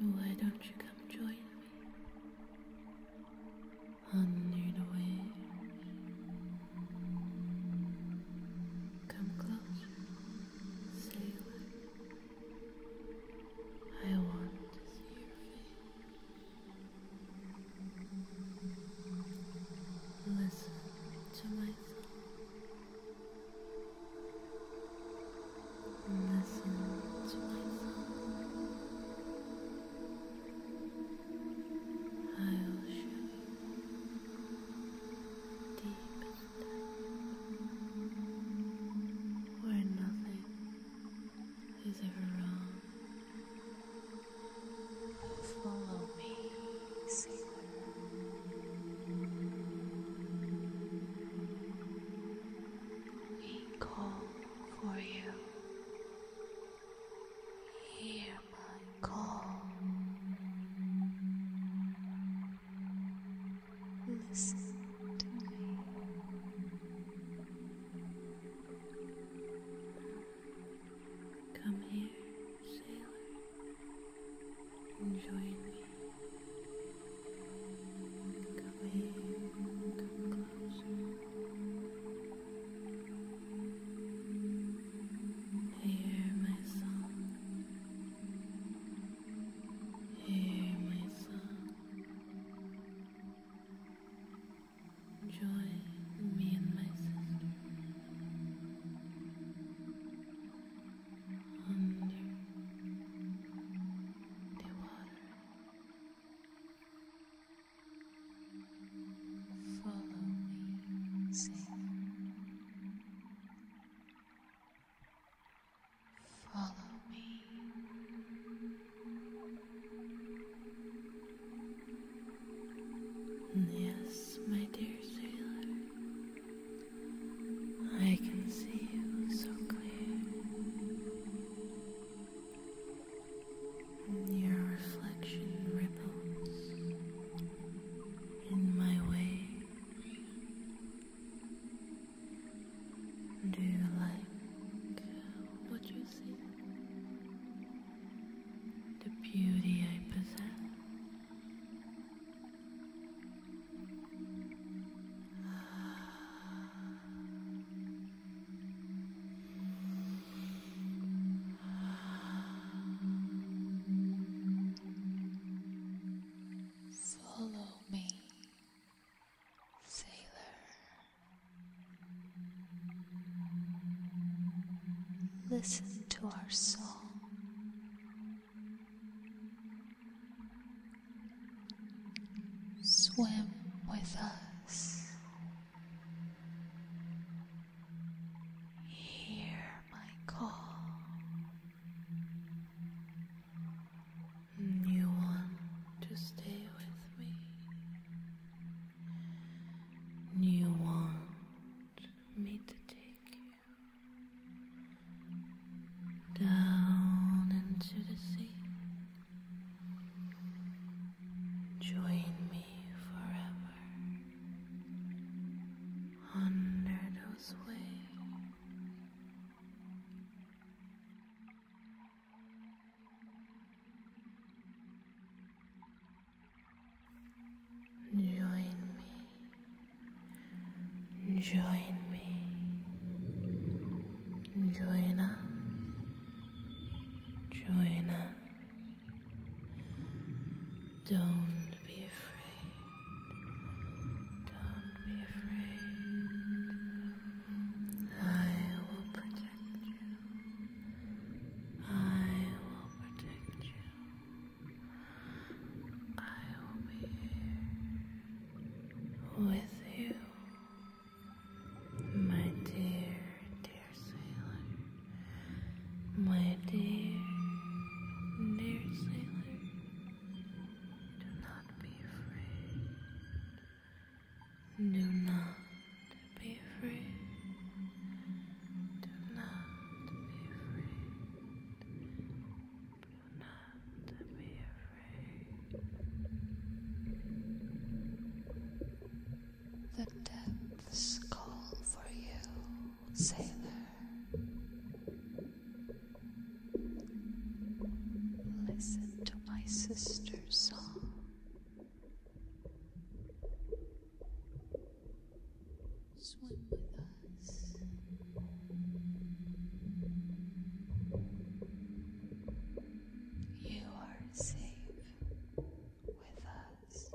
Why don't you come join me under the waves? Come closer, sailor. I want to see your Listen to my listen to myself. I will show you deep where nothing is ever wrong. Follow me. We call for you. Hear my call. Listen to me. Come here, sailor and join me. Come in, come closer. Hear my song. Hear my song. Join me and my sister under the water. Follow me, Follow me. Yes, my dear sailor. I can see you so clear. Your reflection ripples in my way. Do you like what you see? The beauty I possess. Follow me, sailor. Listen to our song Swim with us. Hear my call. You want to stay with me. You want me to take you down into the sea. Join me forever under those waves. Join me. Join me. Join us. Join us. Don't be afraid. Don't be afraid. I will protect you. I will protect you. I will be here with you, my dear, dear sailor, my dear, dear sailor. Do not be afraid. Do not be afraid. Do not be afraid not to be afraid. The depths call for you, sailor. Listen to my sister's song. Swim with us. You are safe with us.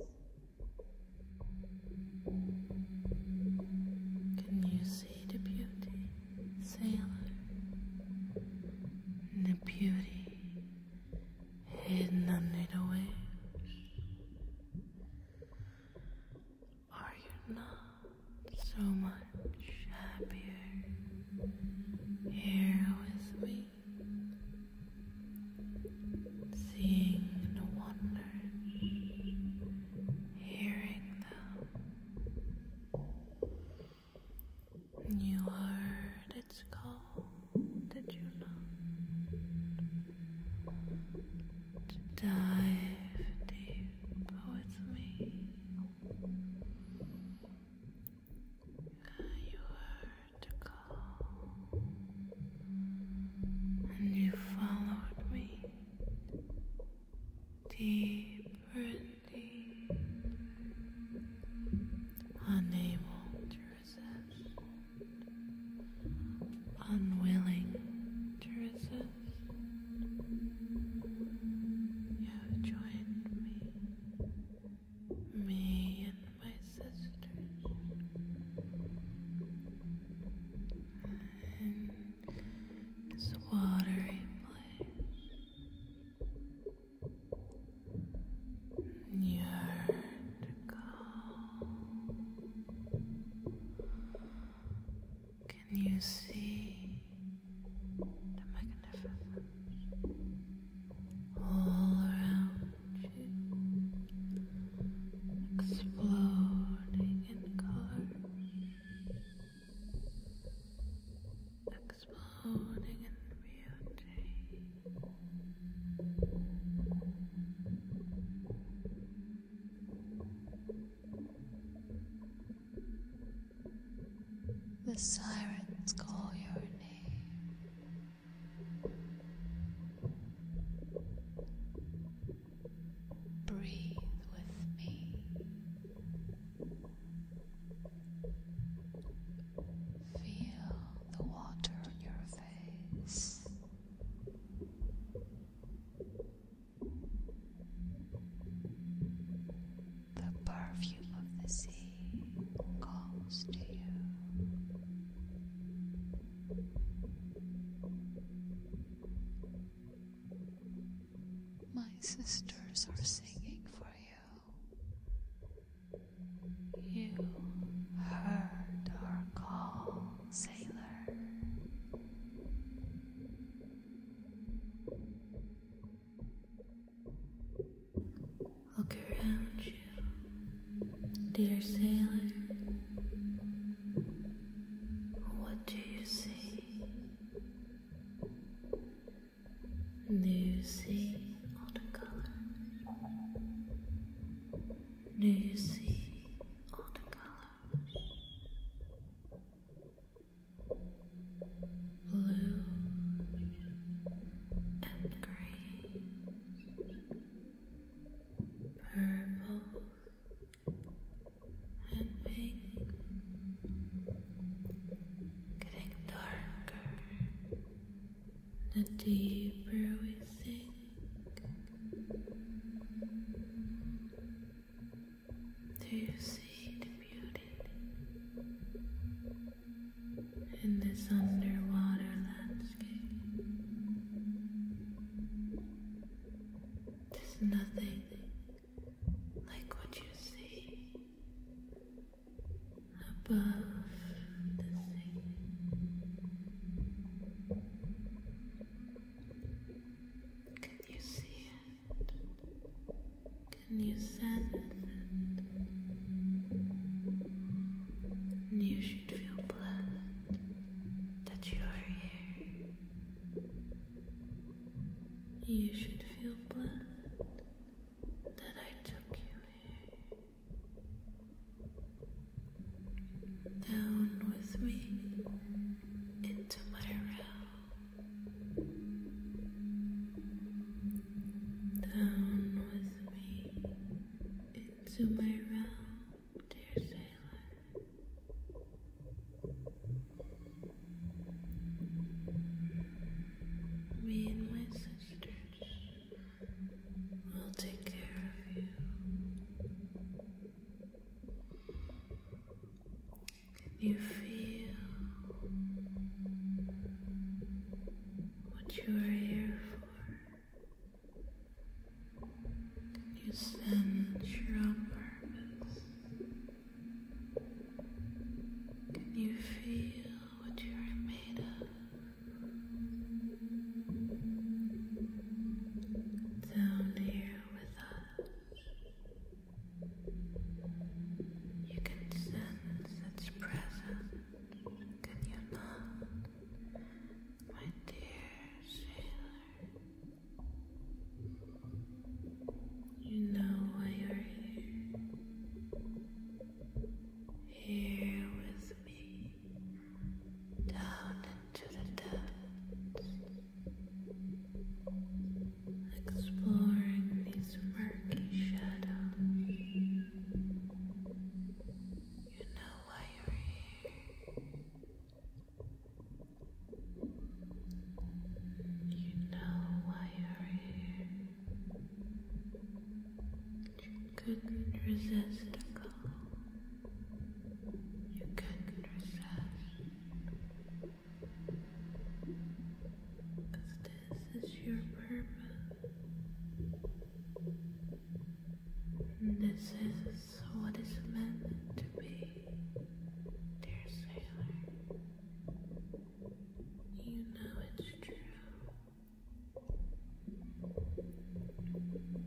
Can you see the beauty, sailor? The beauty hidden under the waves. Are you not so much happier here with me? Seeing the wonder, hearing them. You heard its call, did you not? dive deep with me. You heard the call, and you followed me deeper and deeper, unable to resist unwilling to resist, you have joined me, me and my sisters, in this watery place. You heard the call. Can you see the magnificence all around you, exploding in colors, exploding in beauty? The sirens call your name. Breathe with me. Feel the water on your face. The perfume of the sea calls to you. My sisters are singing for you. You heard our call sailor. Look around you, dear sailor. What do you see? Do you see all the Do you see all the blue and green, purple and pink, getting darker the deeper we sink. Do you see the beauty in this underwater landscape? There's nothing like what you see above the sea. Can you see it? Can you sense it? And you should feel blessed that you are here. You should feel blessed that I took you here. Down with me into my realm. Down with me into my realm, dear sailor. Me and my sisters will take care of you. Can you feel what you are here for? Can you sense your own purpose? Can you feel what you are made of? Down here with us. You can sense its presence, can you not, my dear sailor? You know why you're here, here with me, down to the depths, exploring these murky shadows. You know why you're here. You know why you're here. You couldn't resist a call. You couldn't resist. Because this is your purpose. this is what is meant to be, dear sailor. You know it's true.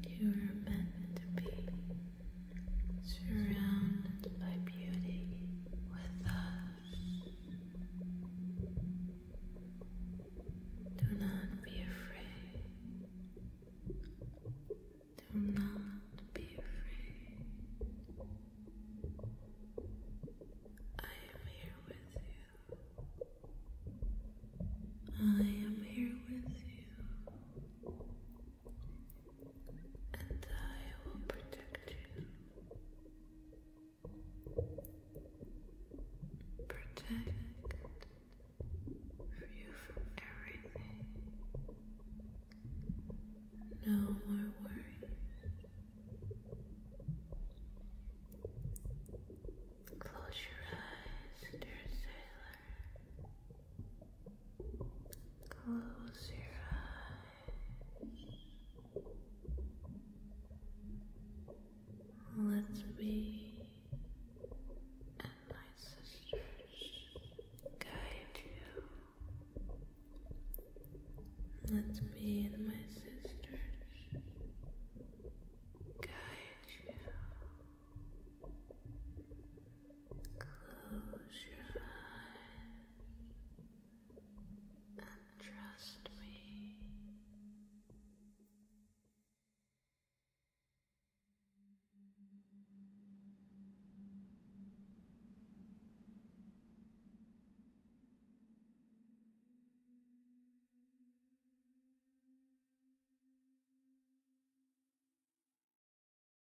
You are meant to be surrounded by beauty with us. Do not be afraid. Do not be afraid. I am here with you. I am here with you and I will protect you. Protect you from everything. No more worries. Close your eyes, dear sailor. Close your eyes. Let's be and my sisters guide you. Let's be and my sisters guide you. Close your eyes and trust me.